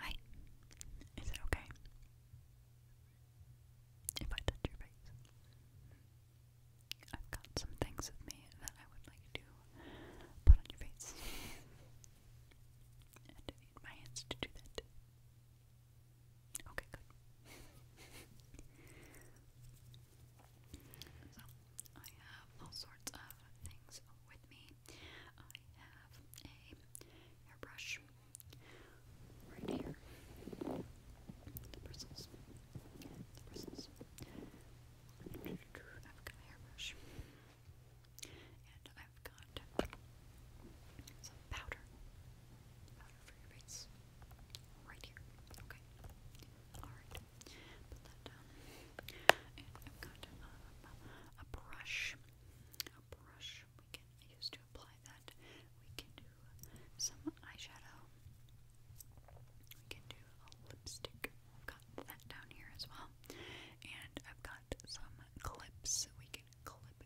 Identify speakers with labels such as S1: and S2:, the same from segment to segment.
S1: Hi. Is it okay? If I touch your face. I've got some things with me that I would like to put on your face. I need my hands to do that. Okay, good. so, I have all sorts of things with me. I have a hairbrush right here. The bristles. The bristles. I've got a hairbrush. And I've got some powder. for your face. Right here. Okay. Alright. Put that down. I've got a brush. A brush we can use to apply that. We can do some eyeshadow. We can do a lipstick. I've got that down here as well. And I've got some clips. We can clip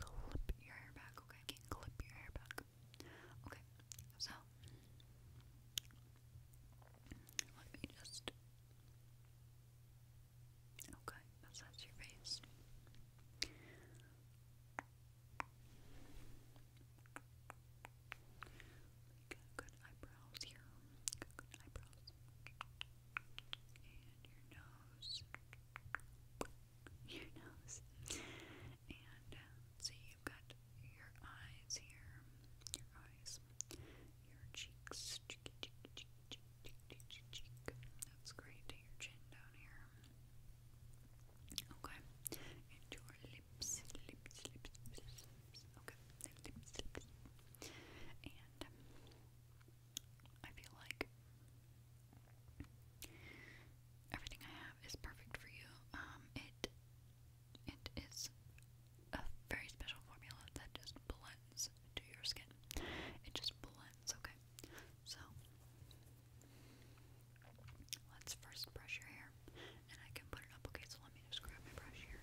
S1: clip your hair back. Okay, I can clip your hair back. Okay, so let me just. Okay, massage your face. Got good eyebrows here. Got good eyebrows. And your nose. Your nose. And uh, so you've got your eyes here. Your eyes your cheeks. Cheek, cheek, cheek, cheek, cheek, cheek, cheek, cheek. That's great. To your chin down here. Okay. And your lips, lips, lips, lips, lips. Okay. Lips, lips. And um, I feel like everything I have is perfect for you. Um, it it is a very special formula that just blends into your skin. It just blends, okay? So, let's first brush your hair. And I can put it up, okay? So let me just grab my brush here.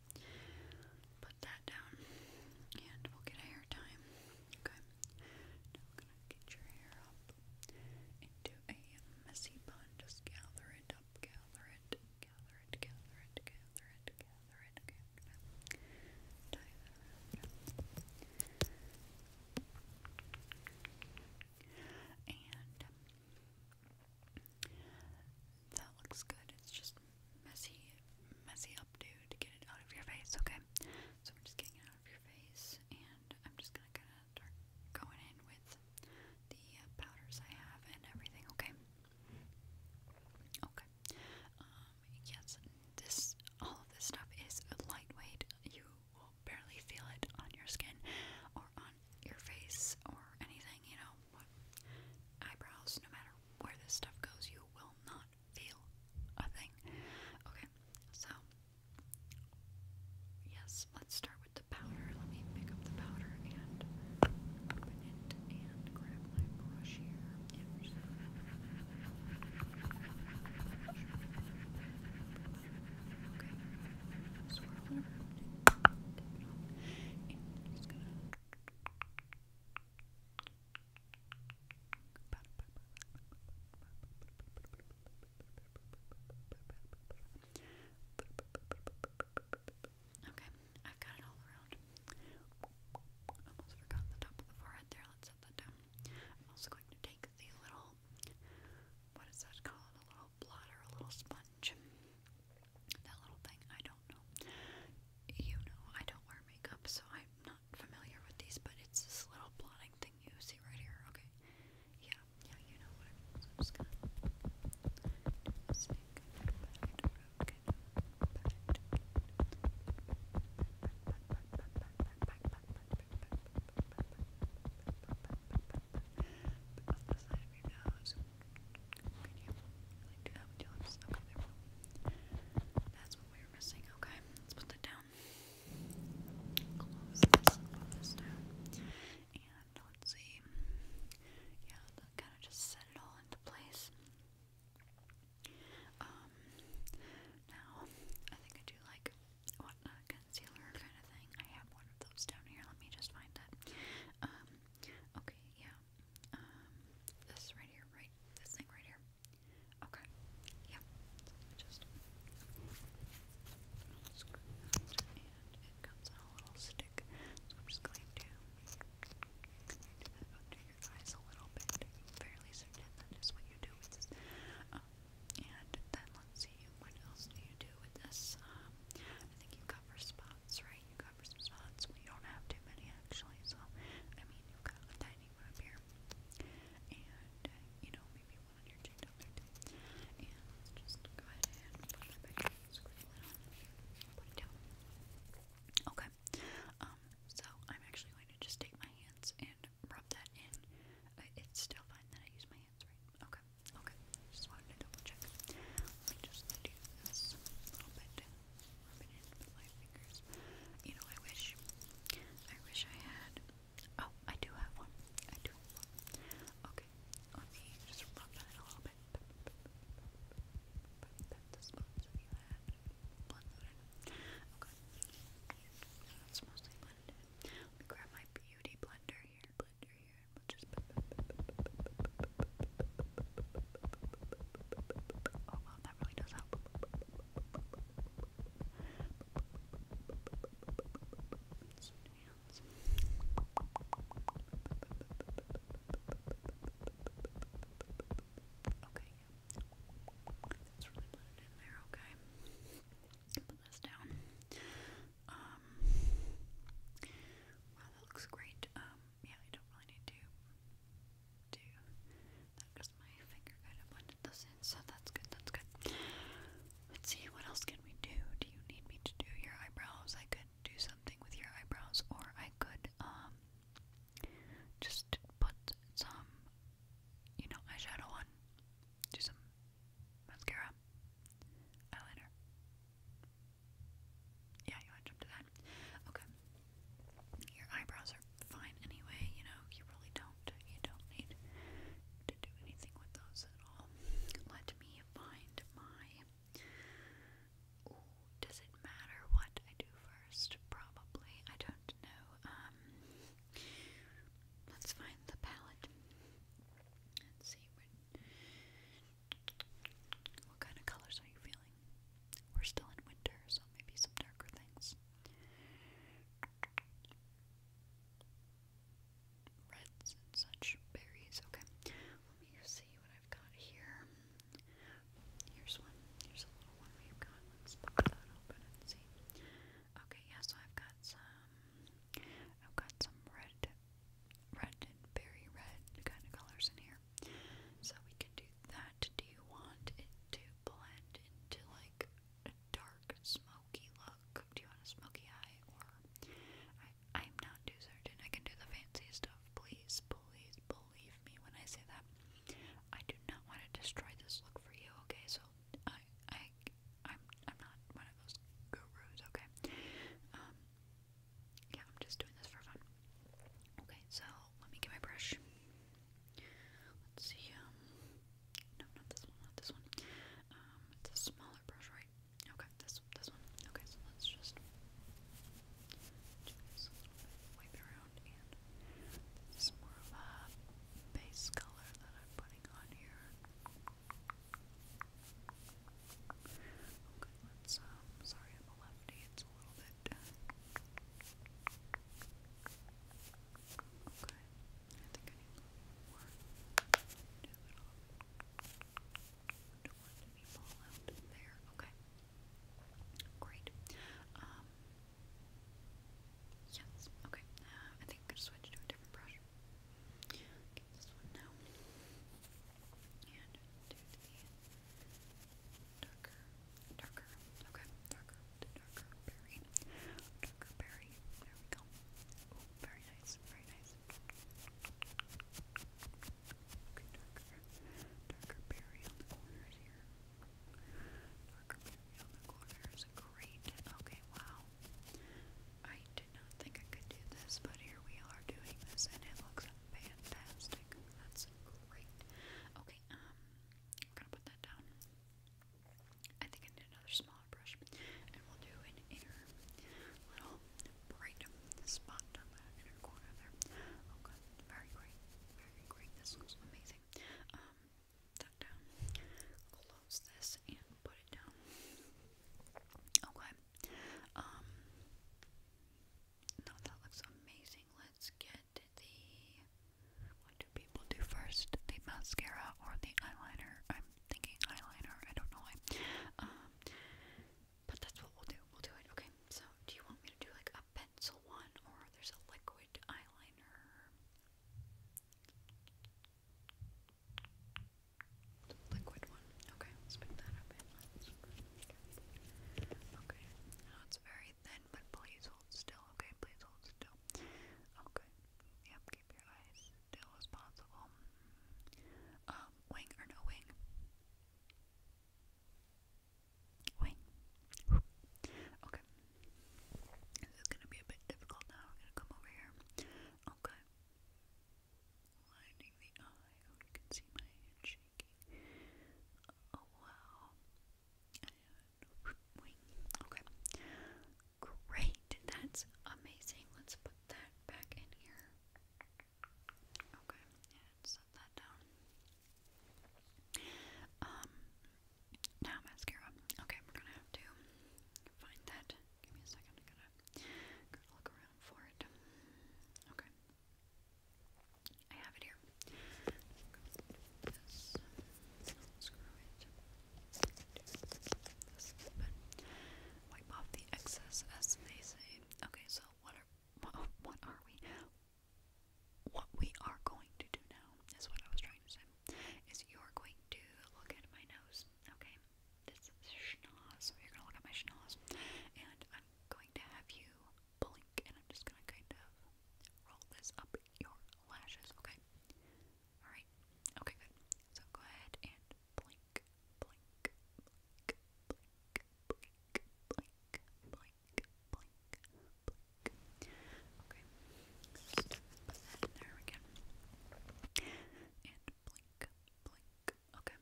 S1: Put that down and we'll get hair time. Okay. Now we gonna get your hair up into a messy bun. Just gather it up, gather it, gather it, gather it, gather it, gather it, gather And that looks good. It's just messy, messy updo to get it out of your face, okay? So I'm just getting it out of your face, and I'm just gonna kind of start going in with the uh, powders I have and everything, okay? Okay. Um, yes, this, all of this stuff is lightweight. You will barely feel it on your skin or on your face or anything, you know, eyebrows, no matter where this stuff goes, you will not feel a thing. Okay, so yes, let's start with the powder. Let me pick up the powder and open it and grab my brush here. Okay, and I'm just gonna Okay, I've got it all around. Almost forgot the top of the forehead there. Let's set that down. I'm also going to take the little, what is that called? A little little a little sponge. That little thing, I don't know. You know, I don't wear makeup, so I'm not familiar with these, but it's this little blotting thing you see right here, okay? Yeah, yeah, you know but you That's what we were missing. Okay, let's put that down. And let's see. Yeah, kind of just set it all into place. Um, now I think I do like concealer kind of thing. I have one of those down here. Let me just find it. Um, okay, yeah. Um, this right here, right? This thing right here. Okay. Yeah. just that, and it comes on a little stick. So I'm just going to under your eyes a little bit. fairly certain that is what you do um, and then let's see what else do you do with this. Um, I think you cover spots, right? You cover some spots. We don't have too many actually, so I mean you've got a tiny one up here, and uh, you know maybe one on your chin down there too. And let's just go ahead and put that back, scribble it on, put it down. Okay. Um. So I'm actually going to just take my hands and rub that in. It's still fine that I use my Okay, okay. Just wanted to double check. Let me just do this little bit. Rub it in with my fingers. You know, I wish, I wish I had. Oh, I do have one. I do have one. Okay, let just rub that in a little bit. Put Okay. That's mostly blended. Let me grab my beauty blender here blender here and we'll just. Oh wow, that really does help. Some hands. Okay, yeah. That's really blended in there, okay put this down. Um, wow, that looks great. Um, yeah, I don't really need to do that because my finger kind of blended this in, so that's good, that's good. Let's see, what else can we do? Do you need me to do your eyebrows? I could do something with your eyebrows, or I could, um, just put some, you know, eyeshadow on. Do some mascara, eyeliner. Yeah, you want to jump to that? Okay. Your eyebrows are fine anyway, you know, you really don't, you don't need to do anything with those at all. Let me find my... does it matter what I do first? Probably. I don't know. Um, Let's find the palette. let see what kind of colors are you feeling? We're still in winter, so maybe some darker things. Reds and such berries. Okay, let me see what I've got here. Here's one. Here's a little one we've got. Let's pop that open and see. Okay, yeah, so I've got some I've got some red red berry red kind of colors in here. So we can do that. Do you want it to blend into like a dark smoky look? Do you want a smoky eye or I I'm not too certain. I can do the fancy stuff, please, please believe me when I say that. I do not want to destroy this look for you, okay? So I I I'm I'm not one of those gurus, okay? Um, yeah, I'm just doing this for fun. Okay, so let me get my brush. Let's see, um, no not this one, not this one. Um, it's a smaller brush, right? Okay, this this one. Okay, so let's just do wipe around and it's more of a base color that I'm putting on here. Okay, let's, um, sorry I'm a lefty, it's a little bit... Okay, I think I need a little more do it all. Don't want it to there. Okay. Great. Um, Yes, okay. Uh, I think I'm going to switch to a different brush. this one now. And do darker, darker, okay, darker, darker berry. Darker berry. There we go. very nice, very nice. Okay, darker, darker berry on the corners here worker bee on the corner is great. Okay, wow. I did not think I could do this, but here we are doing this, and it looks fantastic. That's great. Okay, um, I'm gonna put that down. I think I need another smaller brush, and we'll do an inner little bright spot on the inner corner there. Okay, oh, very great, very great. This looks amazing. Um, Okay. Um, no, that looks amazing. Let's get the what do people do first? The mascara or the eyeliner? I'm thinking eyeliner, I don't know why. Um, but that's what we'll do. We'll do it. Okay. So do you want me to do like a pencil one or there's a liquid eyeliner? Liquid one. Okay, let's pick that up. okay, it's very thin, but please hold still. Okay, please hold still. Okay, yep, keep your eyes still as possible. Um, wing or no wing? Okay. This is gonna be a bit difficult now. I'm gonna come over here. Okay. Lining the eye. Oh, you can see my hand shaking. Oh wow. Okay. Great. That's amazing. Let's put that back in here. Okay. And set that down. Um, now mascara. Okay, we're gonna have to find that. Give me a second. I'm gonna, gonna look around for it. Okay, I have it here. This, unscrew it. This a bit. Wipe off the excess, as they say. Okay, so what are what are we? what we are going to do now is what I was trying to say. Is you're going to look at my nose, okay? This is schnoz, you're gonna look at my schnoz, and I'm going to have you blink, and I'm just gonna kind of roll this up your lashes, okay? All right, okay, good. So go ahead and blink, blink, blink, blink, blink, blink, blink blink, blink. Okay, so put that in there again. And blink, blink. Okay,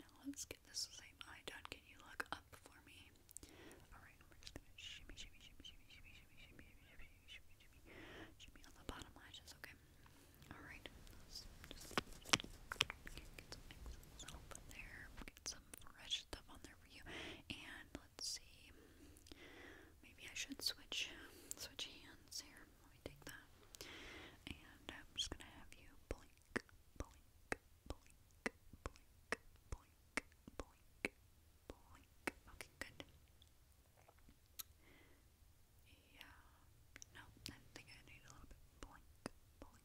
S1: now let's get this same eye done. Can you look up for me? Alright, we're just gonna shimmy, shimmy, shimmy, shimmy, shimmy, shimmy, shimmy, shimmy, shimmy, shimmy, shimmy on the bottom lashes, okay? Alright, let's just get some excellent help in there. Get fresh stuff on there for you. And let's see, maybe I should switch switch hands here. Let me take that. And I'm just gonna have you blink, blink, blink, blink, blink, blink, blink. Okay, good. Yeah. No, I think I need a little bit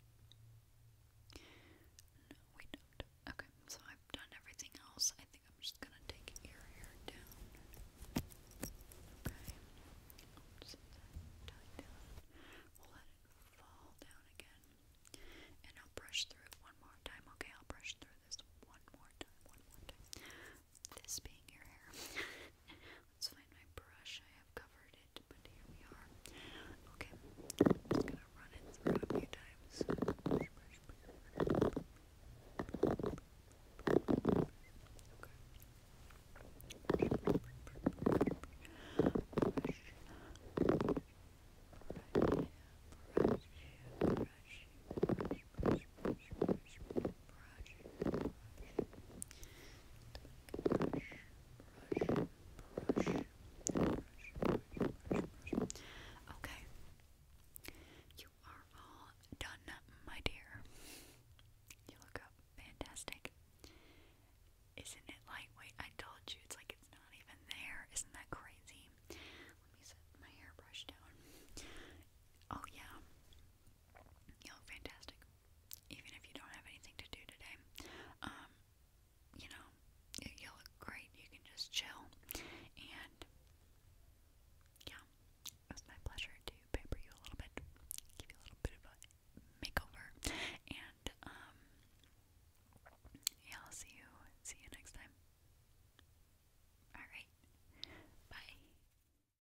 S1: No, we Okay, so I've done everything else. I think I'm just gonna take your hair down. Okay. We'll let it fall down again. And I'll brush through it one more time. Okay, I'll brush through this one more time. One more time. This being your hair. Let's find my brush. I have covered it, but here we are. Okay, I'm just gonna run it through a few times. Okay. Brush. Brush, brush, brush, brush, brush, brush, brush, brush brush, Okay, you are all done, my dear. You look up fantastic. Isn't it lightweight? I told you it's like it's not even there. Isn't that crazy? Let me set my hairbrush down. Oh, yeah. You're fantastic. Even if you don't have anything to do today, um, you know, you, look great. You can just chill. And yeah, it was my pleasure to pamper you a little bit, give you a little bit of a makeover, and um, yeah, I'll see you. See you next time. All right. Bye.